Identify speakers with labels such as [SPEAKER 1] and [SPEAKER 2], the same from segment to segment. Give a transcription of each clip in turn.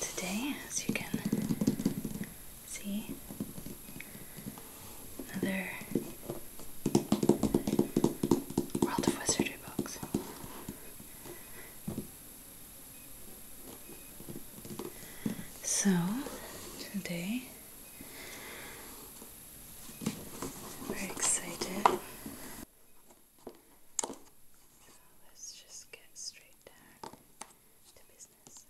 [SPEAKER 1] Today, as you can see, another World of Wizardry box. So, today, I'm very excited so let's just get straight down to business.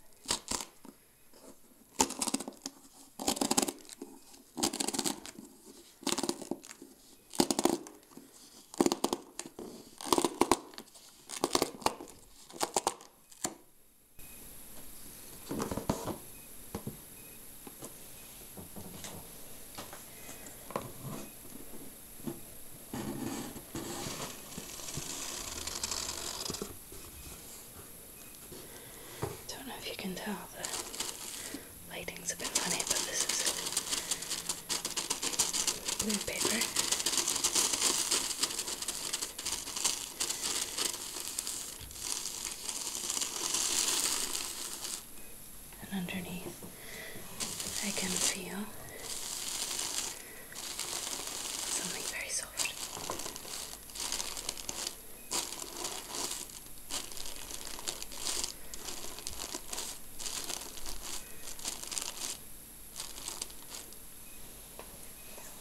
[SPEAKER 1] I Don't know if you can tell the lighting's a bit funny, but this is blue paper and underneath I can feel something very soft.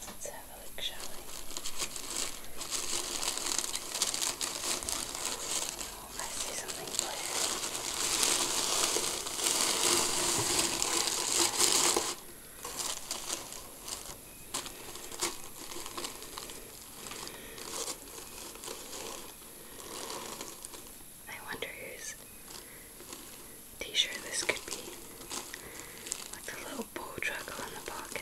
[SPEAKER 1] Let's have a look, shall we? I see something blue. I wonder whose t-shirt this could be. Like the little bow truckle in the pocket.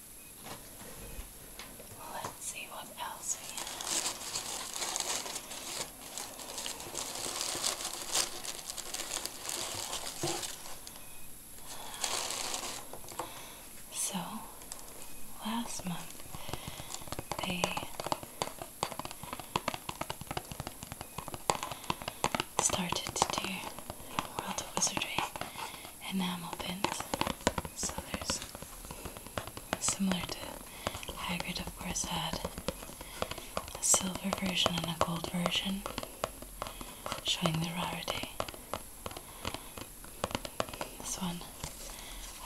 [SPEAKER 1] Let's see what else we have. So, last month they started to do World of Wizardry enamel pins similar to Hagrid, of course, had a silver version and a gold version showing the rarity. This one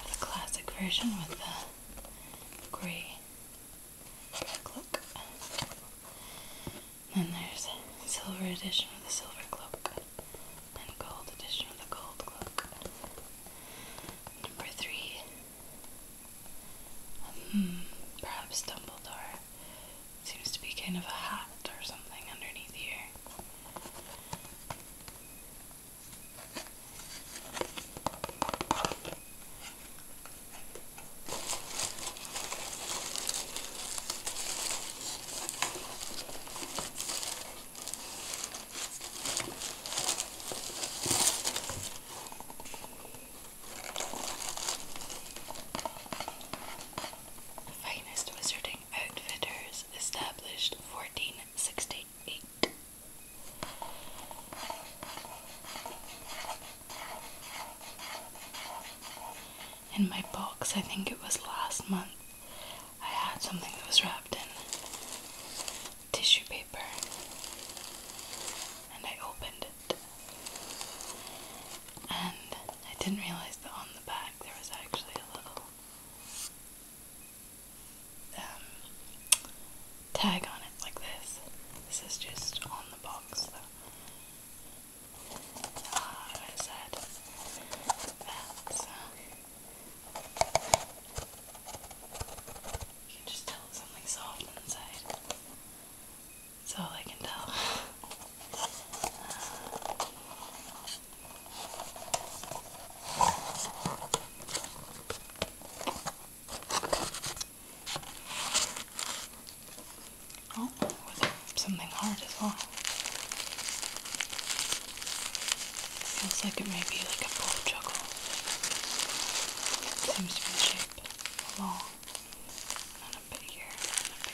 [SPEAKER 1] has a classic version with the grey cloak. then there's a silver edition with the silver cloak and gold edition of the gold cloak. Number three. Hmm, perhaps Dumbledore. Seems to be kind of a hat or something underneath here. The finest wizarding outfitters established 1468 in my box. I think it was last month. I had something that was wrapped in tissue paper and I opened it. And I didn't realize that on the back there was actually a little um, tag on it, like this. This is just on the box though. I said that. You can just tell something soft inside. That's all I can tell. oh, something hard as well. Feels like it may be like a ball juggle. Seems shape. Long. And a bit and a bit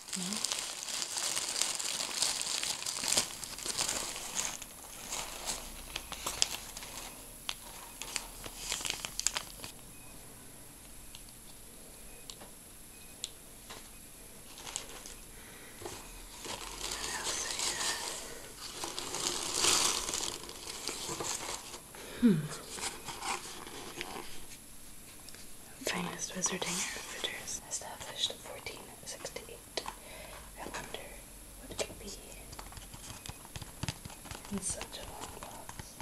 [SPEAKER 1] No? Hmm. Finest wizarding outfitters established 1468 it. I wonder what could be in such a long box.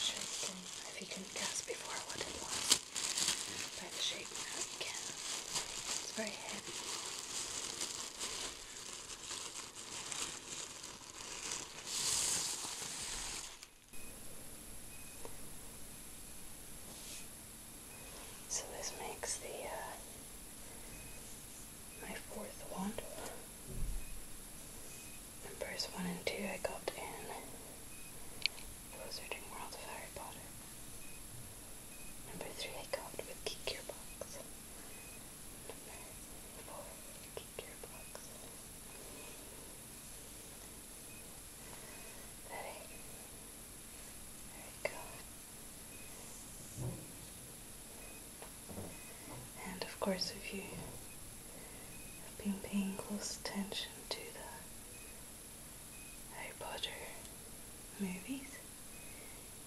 [SPEAKER 1] Sure if you can guess before what it was by the shape now you can. It's very heavy. So this makes the uh, my fourth wand. Numbers one and two I got in Wizarding World of Harry Potter. Number three I got with Geek Gearbox numbers for gearbox. Ready? There we go. And of course, if you have been paying close attention to the Harry Potter movies,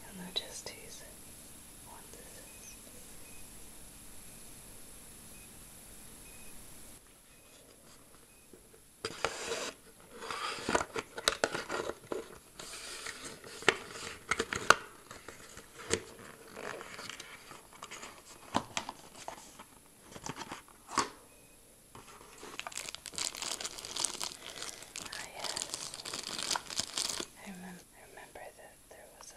[SPEAKER 1] You'll notice these what Ah I, remember that there was a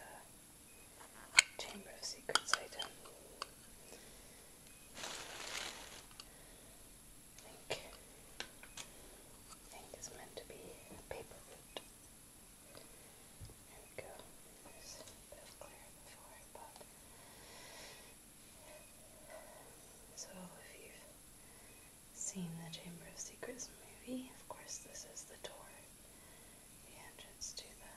[SPEAKER 1] Chamber of Secrets item. I think, it's meant to be paper There we go. This was clear before, but so if you seen the Chamber of Secrets movie, of course this is the door, the entrance to the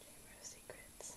[SPEAKER 1] Chamber of Secrets.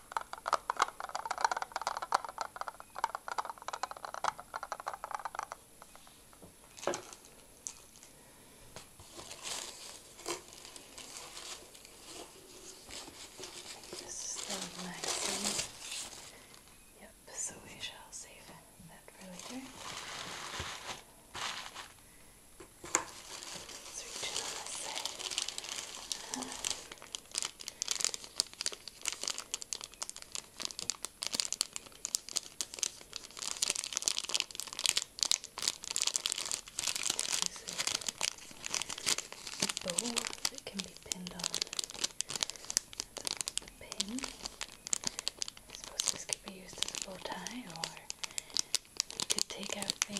[SPEAKER 1] This is the magazine. Yep, so we shall save that for later. Let's reach on this side. Uh -huh. This is a bow that can be pinned on. The pin. I suppose this could be used as a bow tie, or you could take out the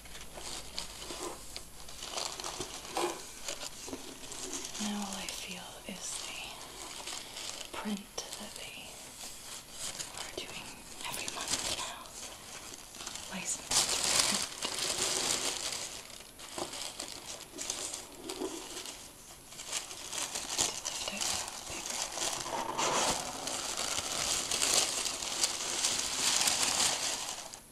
[SPEAKER 1] Now all I feel is the print that they are doing every month now. License to print.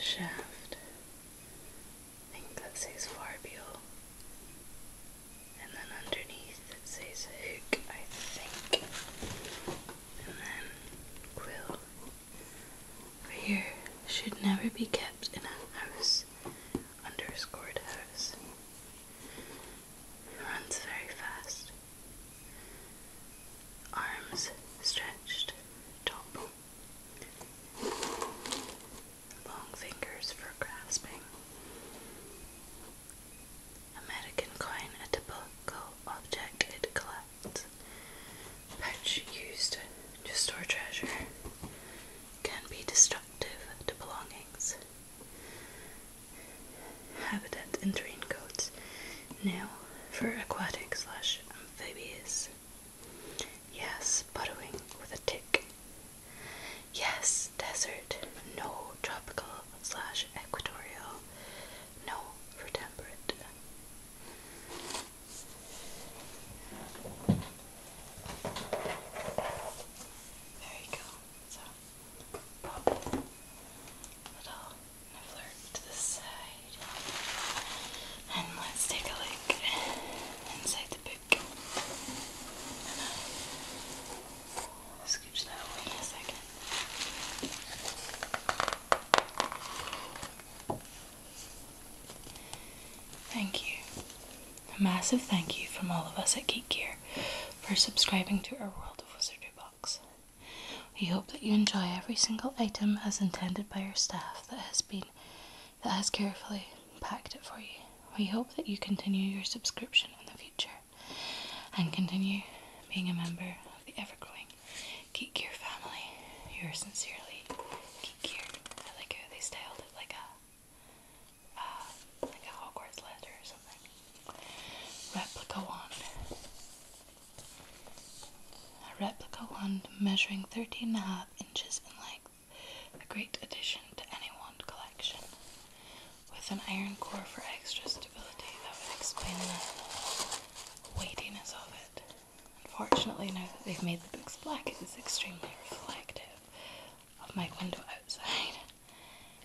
[SPEAKER 1] shaft. I think that says farbial. And then underneath it says hook, I think. And then quill. here should never be kept in a house underscored house runs very fast. Arms stretched, top. Long fingers for grasping. American coin, a typical object it collects. Pouch used to store treasure. Can be destructive to belongings habitat and raincoats, now for aquatic slash amphibious. Yes, burrowing with a tick. Yes, desert. No, tropical slash equatorial. No, for temperate. There you So a And let's take a look inside the book. Thank you. A massive thank you from all of us at Geek Gear for subscribing to our World of Wizardry box. We hope that you enjoy every single item as intended by our staff that has been that has carefully packed it for you. We hope that you continue your subscription in the future and continue being a member of the ever growing Geek Gear family. Yours sincerely, Geek Gear. I like how they styled it like a uh, like a Hogwarts letter or something. Replica wand. A replica wand measuring 13 and a half inches in length. A great addition to any wand collection. With an iron core for extra stability, that would explain the weightiness of it. Unfortunately, now that they've made the books black, it is extremely reflective of my window outside.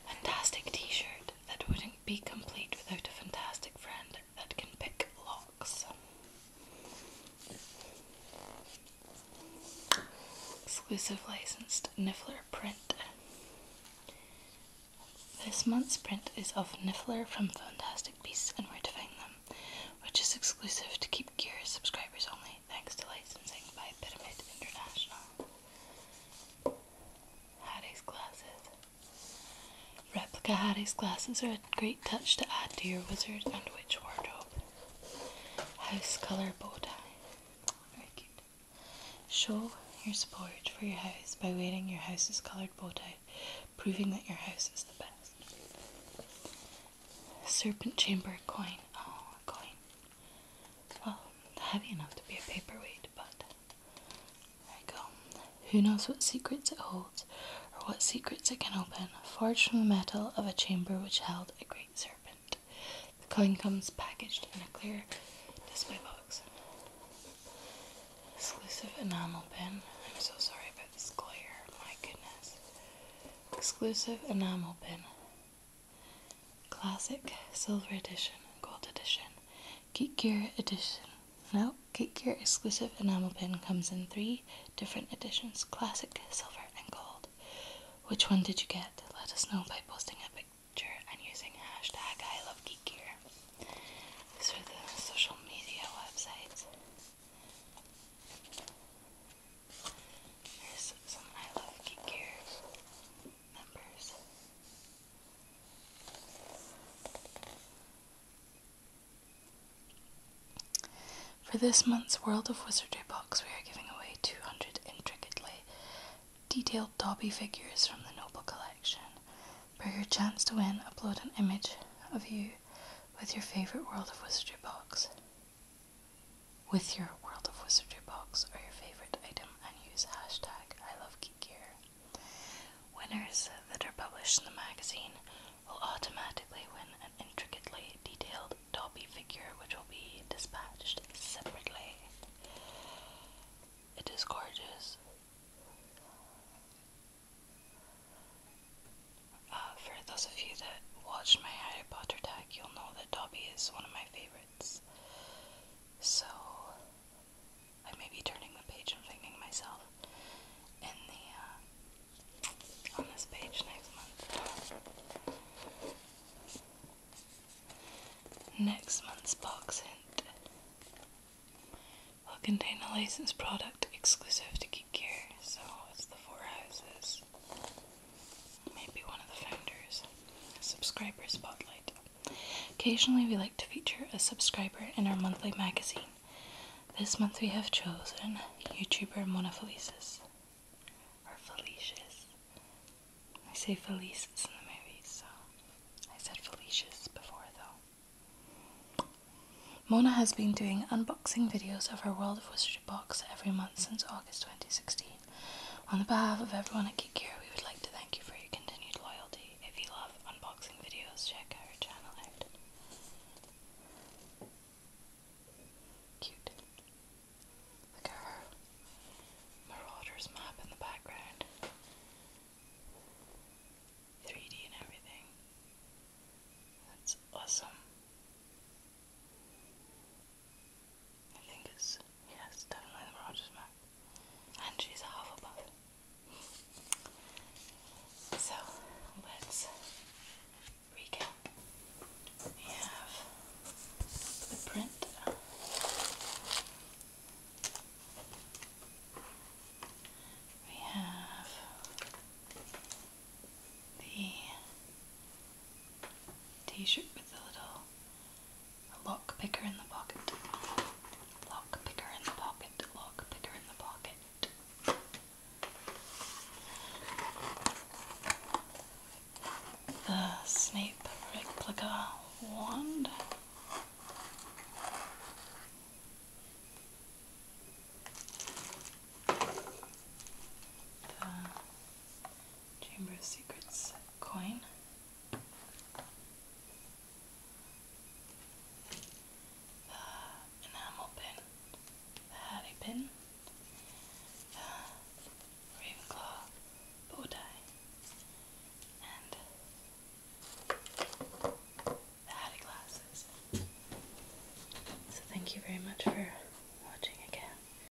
[SPEAKER 1] Fantastic t shirt that wouldn't be complete without a fantastic friend that can pick locks. Exclusive licensed Niffler print. This month's print is of Niffler from Fantastic Beasts and Where to Find Them, which is exclusive to Keep Gear subscribers only thanks to licensing by Pyramid International. Hattie's Glasses. Replica Hattie's Glasses are a great touch to add to your wizard and witch wardrobe. House Colour Bow Tie. Very cute. Show your support for your house by wearing your house's coloured bow tie, proving that your house is the best. Serpent Chamber Coin. Oh, coin well, heavy enough to be a paperweight, but there you go. Who knows what secrets it holds, or what secrets it can open, forged from the metal of a chamber which held a great serpent. The coin comes packaged in a clear display box. Exclusive enamel pin. I'm so sorry about this glare, my goodness. Exclusive enamel pin. Classic Silver Edition, Gold Edition, Geek Gear Edition. Now, Geek Gear exclusive enamel pin comes in three different editions classic, silver, and gold. Which one did you get? Let us know by posting a picture and using hashtag I love Geek Gear. These are the social media websites. Here's some I love Geek Gear for this month's World of Wizardry box, we are giving away 200 intricately detailed Dobby figures from the Noble Collection. For your chance to win, upload an image of you with your favourite World of Wizardry box with your World of Wizardry box or your favorite item and use hashtag I love geek gear. Winners that are published in the magazine will automatically win an intricately detailed Dobby figure which will be dispatched separately. It is gorgeous. Uh, for those of you that watched my Harry Potter tag, you'll know that Dobby is one of my favorites. So I may be turning the page and finding myself in the uh, on this page next month. Next month's box hint will contain a licensed product exclusive to Geek Gear, so it's the Four Houses maybe one of the founders, Subscriber Spotlight. Occasionally, we like to feature a subscriber in our monthly magazine. This month, we have chosen YouTuber Mona Felices. Or Felicia's. I say Felices in the movies, so I said Felices before though. Mona has been doing unboxing videos of her World of Wizardry box every month since August 2016. On behalf of everyone at Kikira, we would like to thank you for your continued loyalty. If you love unboxing videos, check our channel out. Cute. Look at her Marauders map in the background. 3D and everything. That's awesome. I think it's, yes, definitely the Rogers map. And she's a Hufflepuff. So, let's recap. We have the print. We have the T-shirt with a little lock picker in the pocket. Lock picker in the pocket. Lock picker in the pocket. The Snape replica wand. The Chamber of Secrets coin. The enamel pin, the Harry pin, the Ravenclaw bow and the Hattie glasses. So thank you very much for watching again.